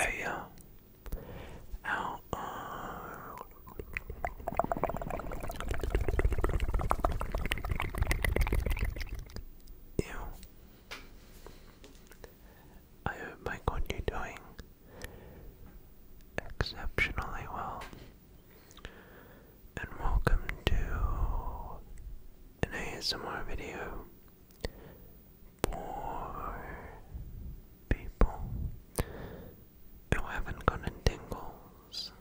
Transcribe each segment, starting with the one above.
Hey, uh, ow, uh, you. I hope, Michael, you're doing exceptionally well. And welcome to an ASMR video for people who haven't gotten tingles.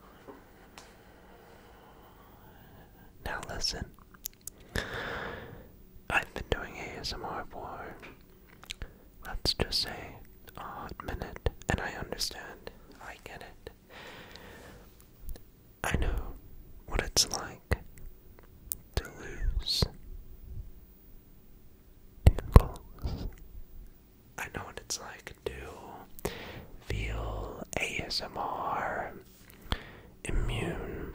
Now listen, I've been doing ASMR for, let's just say, a hot minute, and I understand, I get it. I know what it's like to lose I know what it's like to feel ASMR immune.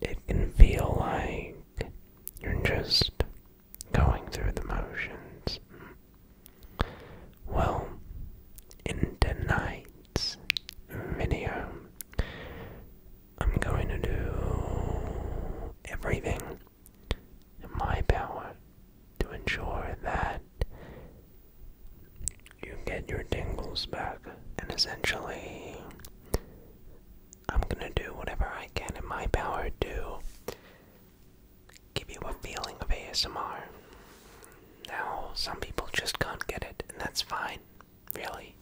It can feel like you're just going through the motions. Well, in tonight video, I'm going to do everything in my power to ensure that you get your tingles back. And essentially, I'm gonna do whatever I can in my power to give you a feeling of ASMR. Now, some people just can't get it, and that's fine, really.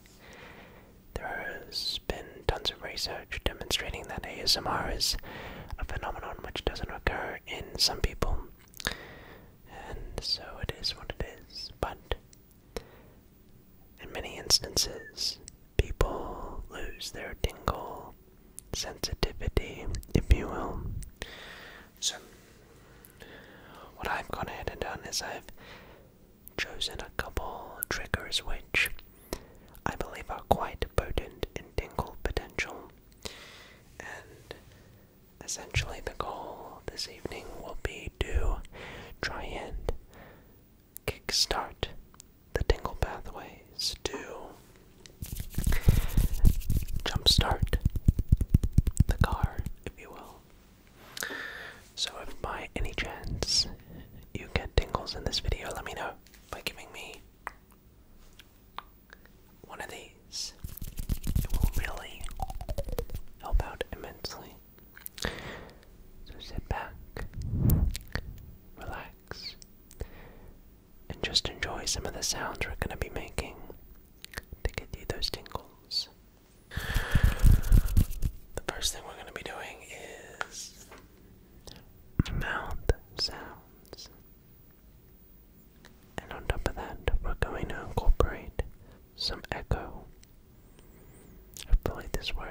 There has been tons of research demonstrating that ASMR is a phenomenon which doesn't occur in some people, and so it is what it is. But in many instances, people lose their tingle sensitivity, if you will, so, what I've gone ahead and done is I've chosen a couple triggers which I believe are quite potent in tingle potential. And essentially, the goal this evening will be to try and kickstart the tingle pathways to jumpstart the car, if you will. So, if by any chance you get tingles in this video, let me know by giving me one of these. It will really help out immensely. So, sit back, relax, and just enjoy some of the sounds we're going to be making they get do those tingles. The first thing we're going to be doing is mouth sounds. And on top of that, we're going to incorporate some echo. Hopefully, this works.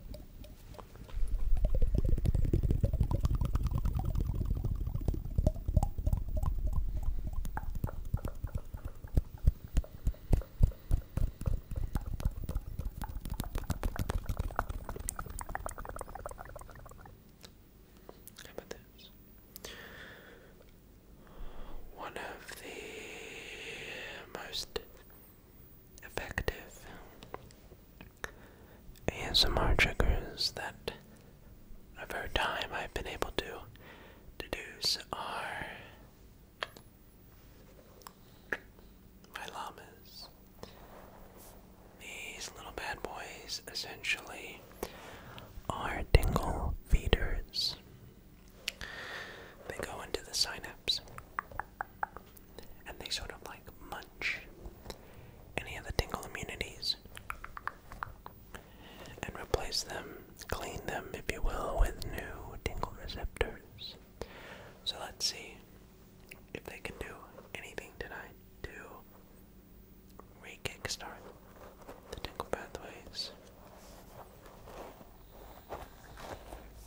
How about One of the most effective ASMR triggers that over time I've been able to deduce are my llamas. These little bad boys essentially are dingle feeders. They go into the synapse and they sort of like munch any of the tingle immunities and replace them, clean them, if you will, with new tingle receptors. So let's see if they can do anything tonight to re the tingle pathways.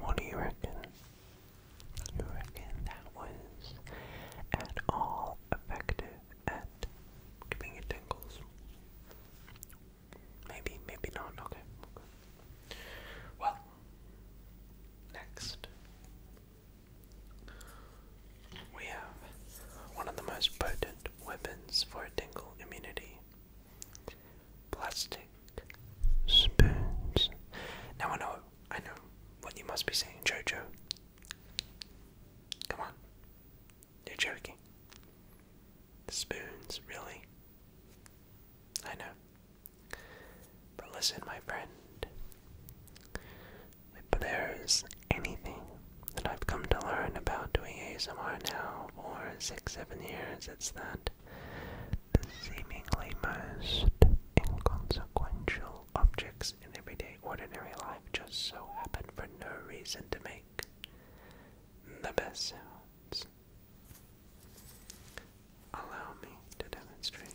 What do you reckon? You reckon that was at all effective at giving you tingles? Maybe, maybe not. Okay. okay. Well, next. We have one of the most potent weapons for a tingle immunity plastic spoons. Now I know, I know what you must be saying, Jojo. Come on, you're joking. Spoons, really? I know. But listen, my friend. But there's anything that I've come to learn about doing ASMR now for six, seven years, it's that the seemingly most inconsequential objects in everyday ordinary life just so happen for no reason to make the best sounds. Allow me to demonstrate.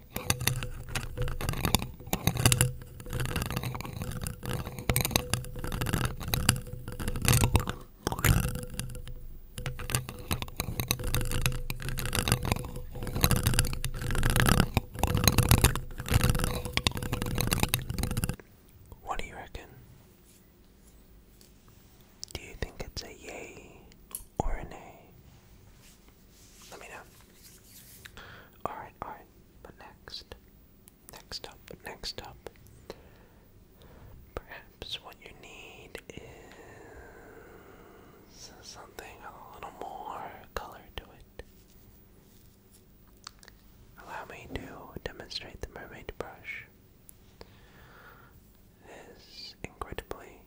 What do you reckon? Do you think it's a yay or a nay? Let me know. Alright, alright. But next, next up, next up, perhaps what you need is something a little more color to it. Allow me to demonstrate the mermaid brush. This incredibly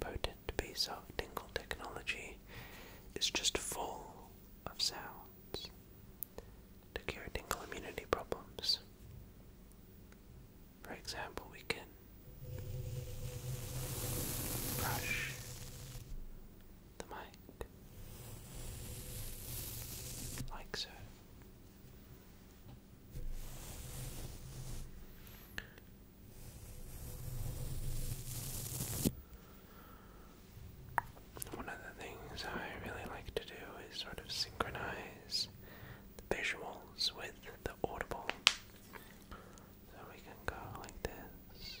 potent patented piece of dingle technology is just full of sounds to cure dingle immunity problems. For example, we can brush the mic like so. One of the things I really like to do is sort of synchronize the visuals with the audible. So we can go like this.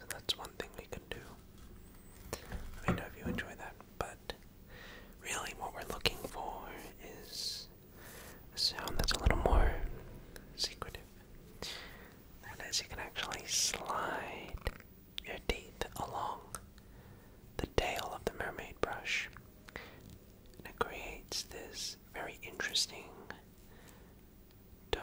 And that's one thing we can do. Let know if you enjoy that, but really what we're looking for is a sound that's a little more secretive. That is, you can actually slide your teeth along the tail of the mermaid brush. And it creates this very interesting tone.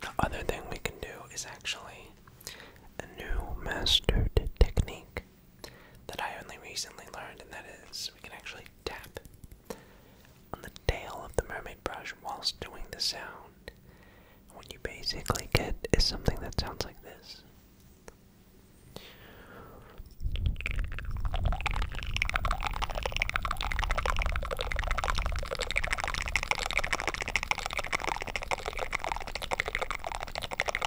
The other thing we can do is actually a new mastered technique that I only recently learned, and that is we can actually tap on the tail of the mermaid brush whilst doing the sound. what you basically get is something that sounds like this.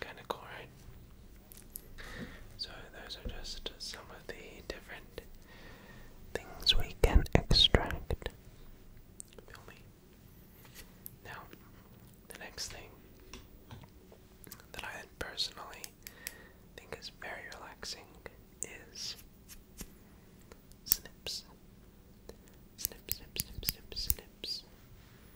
Kind of cool, right? So, those are just some of the different things we can extract. Feel me? Now, the next thing that I personally think is very relaxing is snips. Snip, snip, snip, snips.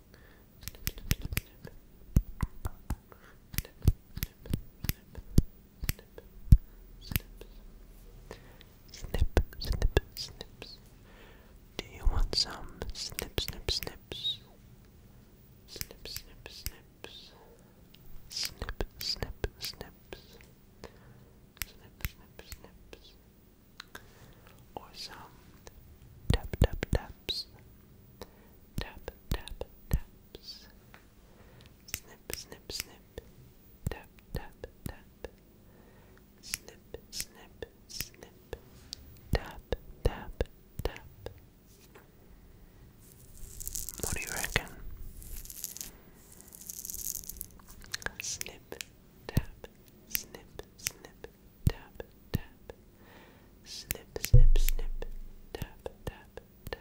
snip, snip, snips. Do you want some snip, snip, snips? Snip, snip, snips. Snip, snip, snips. Snip, snip, snips. Or some tap, tap, taps. Tap, tap, taps. Snip, snip, snip. Tap, tap, tap. Snip, snip, snip. Tap, tap, tap. What do you reckon? Snip, tap, snip, snip, tap, tap. Snip, snip, snip. Tap, tap, tap.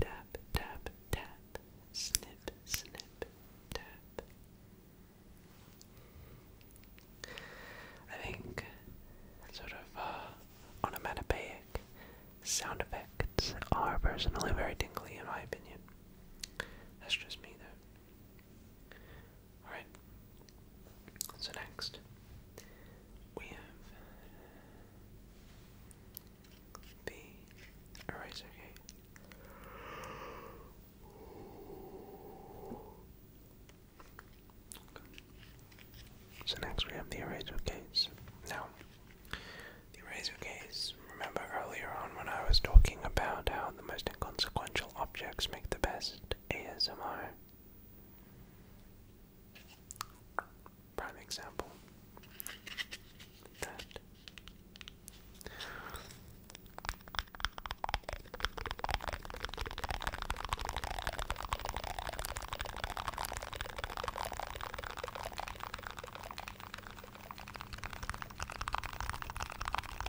Tap, tap, tap. Snip, snip, tap. I think sort of uh, onomatopoeic sound effects are personally very tingly in my opinion. That's just me though. Alright. So next, we have the eraser case. So next we have the eraser case. Now, the eraser case, remember earlier on when I was talking about how the most inconsequential objects make the best ASMR? Prime example. That.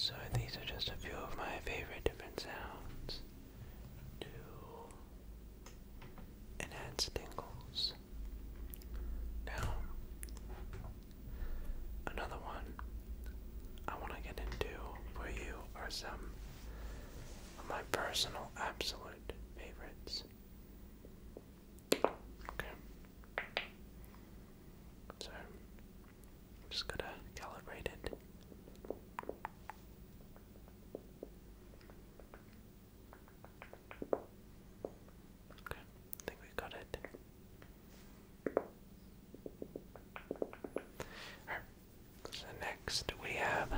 So, these are just a few of my favorite different sounds to enhance tingles. Now, another one I want to get into for you are some of my personal absolute favorites. Okay. So, I'm just gonna calibrate it. Okay. I think we got it. so next we have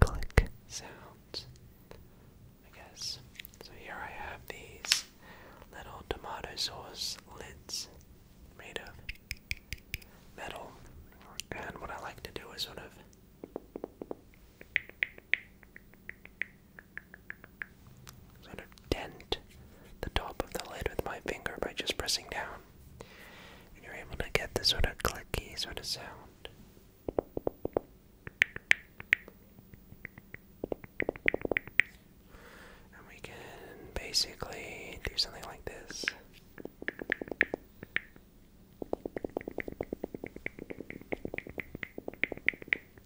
click sounds. I guess. So here I have these little tomato sauce lids made of metal. And what I like to do is sort of sort of dent the top of the lid with my finger by just pressing down. And you're able to get this sort of clicky sort of sound. And we can basically do something like this. There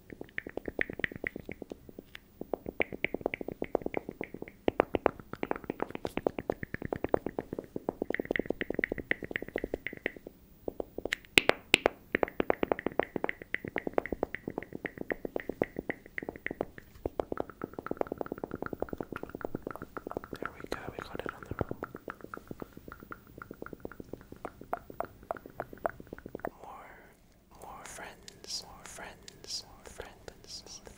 we go, we got it on the roll. More more friends, more friends, more friends, more friends, more friends.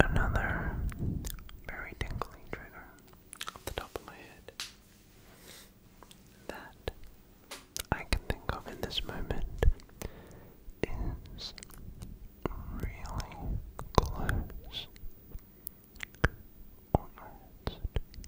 Another very tingling trigger off the top of my head that I can think of in this moment is really close,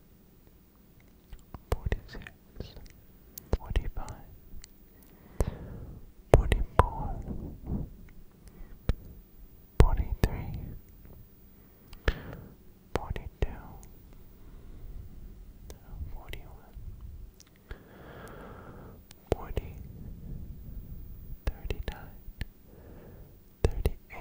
46 45 43 41 40 39 38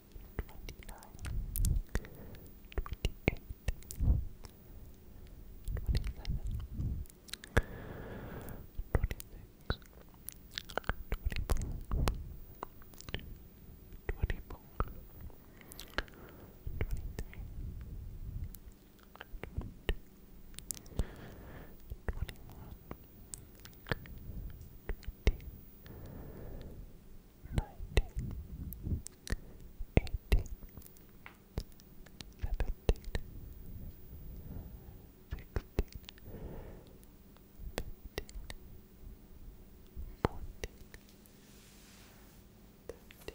twenty-nine, twenty-eight, twenty-seven, twenty-six, twenty-four, twenty-four, twenty-three, twenty-two, Twenty-one, twenty, nineteen, eighteen, seventeen, sixteen, fifteen, fourteen, thirteen, twelve, eleven. 10,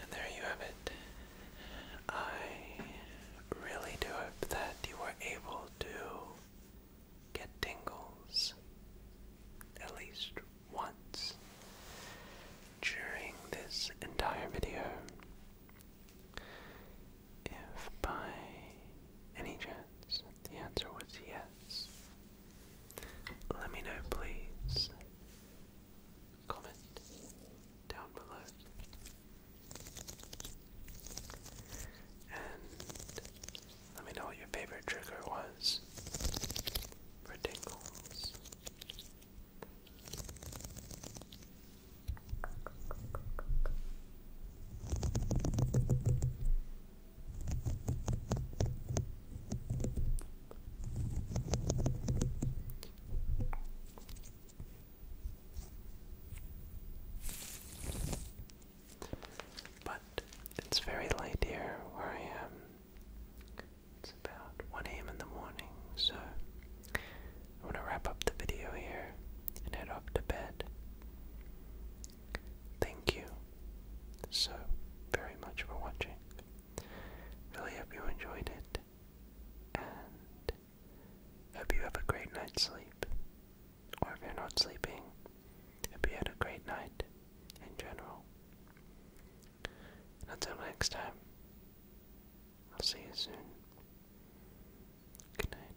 And there you have it. I really do hope that you were able to get tingles at least once during this entire video. If by any chance the answer was yes. Let me know, please. Comment down below. And let me know what your favorite trigger was for tingles. But it's very late here where I am. It's about 1 a.m. in the morning, so I'm to wrap up the video here and head off to bed. Thank you so very much for watching. Really hope you enjoyed it, and hope you have a great night's sleep. Or if you're not sleeping, hope you had a great night in general. until next time, I'll see you soon. Good night.